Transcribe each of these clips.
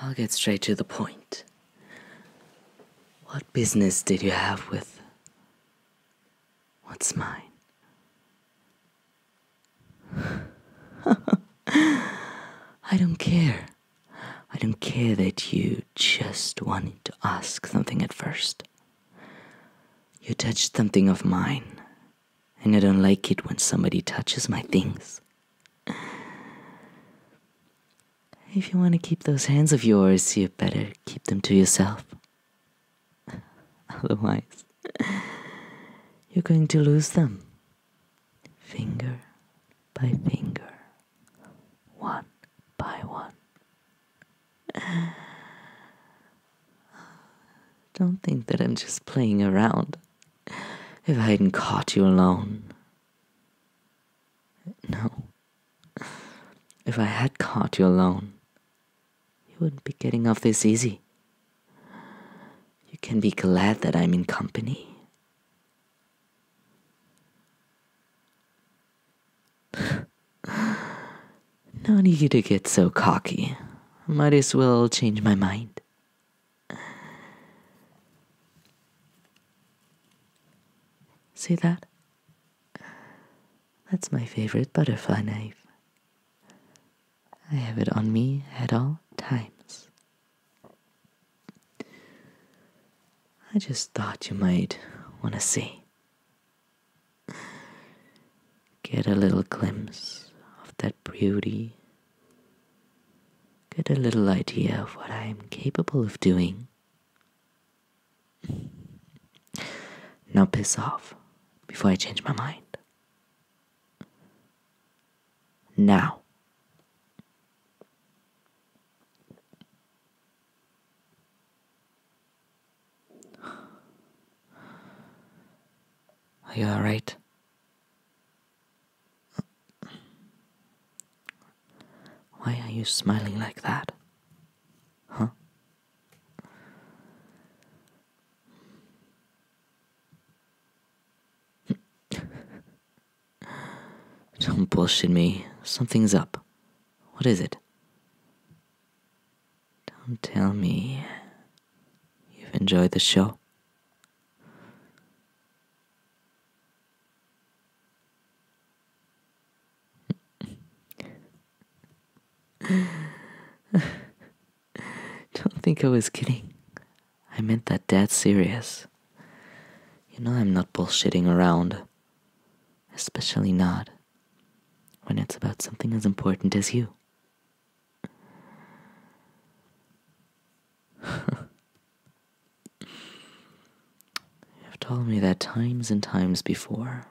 I'll get straight to the point. What business did you have with what's mine? I don't care. I don't care that you just wanted to ask something at first. You touched something of mine, and I don't like it when somebody touches my things. If you want to keep those hands of yours, you better keep them to yourself. Otherwise, you're going to lose them. Finger by finger, one by one. Don't think that I'm just playing around. If I hadn't caught you alone. No. If I had caught you alone, you wouldn't be getting off this easy. You can be glad that I'm in company. Not easy to get so cocky. Might as well change my mind. See that? That's my favorite butterfly knife. I have it on me at all times. I just thought you might want to see. Get a little glimpse of that beauty. Get a little idea of what I am capable of doing. Now piss off before I change my mind. Now. Are you alright? Why are you smiling like that? Huh? Don't bullshit me. Something's up. What is it? Don't tell me you've enjoyed the show. Don't think I was kidding. I meant that dead serious. You know I'm not bullshitting around especially not when it's about something as important as you. You've told me that times and times before.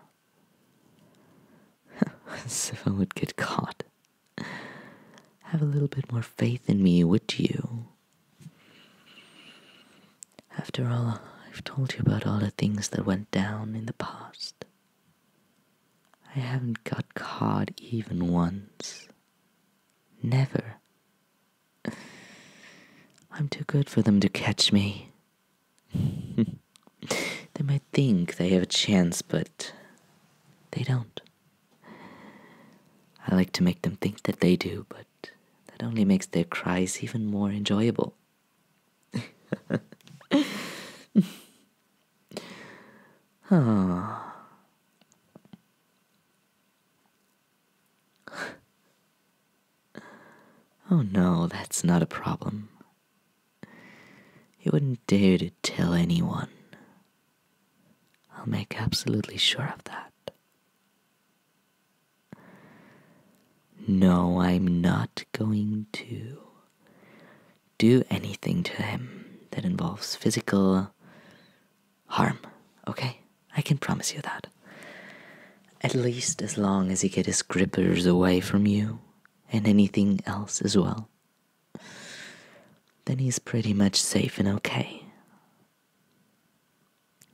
as if I would get caught. Have a little bit more faith in me, would you? After all, I've told you about all the things that went down in the past. I haven't got caught even once. Never. I'm too good for them to catch me. they might think they have a chance, but they don't. I like to make them think that they do, but that only makes their cries even more enjoyable. oh. no, that's not a problem. He wouldn't dare to tell anyone, I'll make absolutely sure of that. No, I'm not going to do anything to him that involves physical harm, okay? I can promise you that. At least as long as you get his grippers away from you and anything else as well, then he's pretty much safe and okay.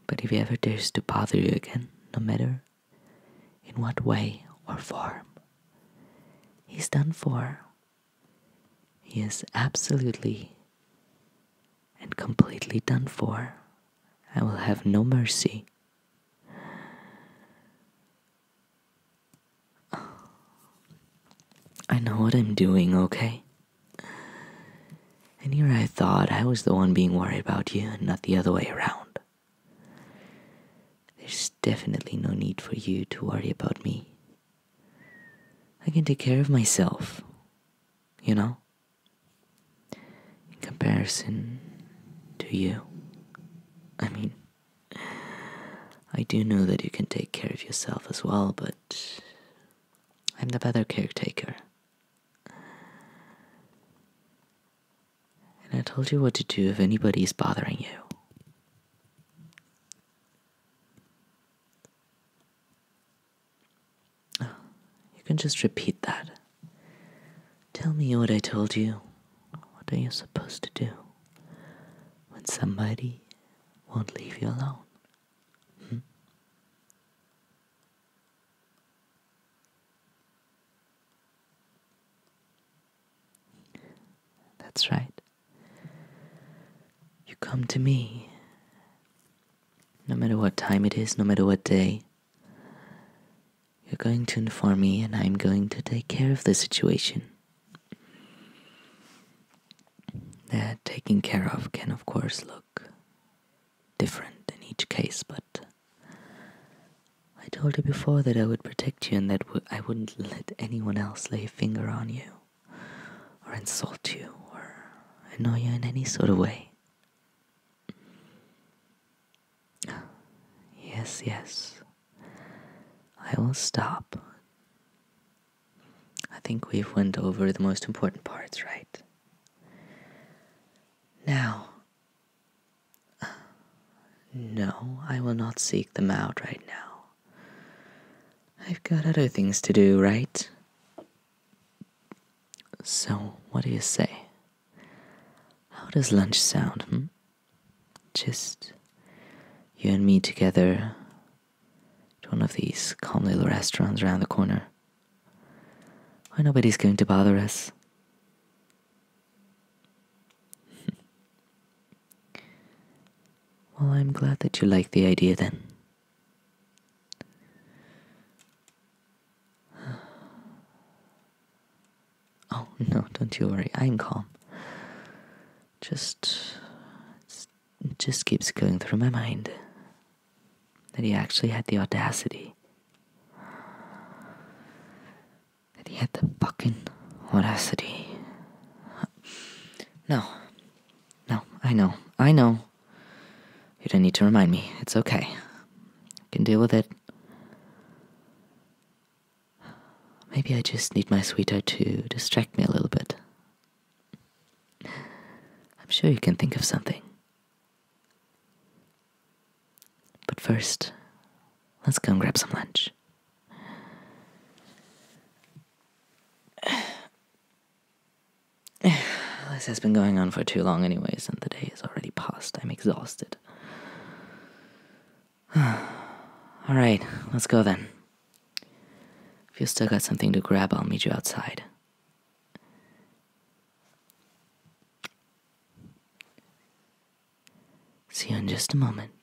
But if he ever dares to bother you again, no matter in what way or form, he's done for. He is absolutely and completely done for. I will have no mercy. I know what I'm doing, okay? And here I thought I was the one being worried about you and not the other way around. There's definitely no need for you to worry about me. I can take care of myself, you know? In comparison to you. I mean, I do know that you can take care of yourself as well, but I'm the better caretaker. And I told you what to do if anybody is bothering you. Oh, you can just repeat that. Tell me what I told you. What are you supposed to do when somebody won't leave you alone? Hmm? That's right. You come to me no matter what time it is, no matter what day, you're going to inform me, and I'm going to take care of the situation. That taking care of can, of course, look different in each case, but I told you before that I would protect you and that I wouldn't let anyone else lay a finger on you, or insult you, or annoy you in any sort of way. Yes, yes. I will stop. I think we've went over the most important parts, right? Now, no, I will not seek them out right now. I've got other things to do, right? So, what do you say? How does lunch sound? Hmm? Just you and me together at one of these calm little restaurants around the corner where nobody's going to bother us. well, I'm glad that you like the idea then. Oh, no, don't you worry. I'm calm. Just. just keeps going through my mind that he actually had the audacity. That he had the fucking audacity. No. No, I know. I know. You do not need to remind me. It's okay. I can deal with it. Maybe I just need my sweetheart to distract me a little bit. I'm sure you can think of something. But first, let's go and grab some lunch. this has been going on for too long, anyways, and the day is already past. I'm exhausted. Alright, let's go then. If you still got something to grab, I'll meet you outside. See you in just a moment.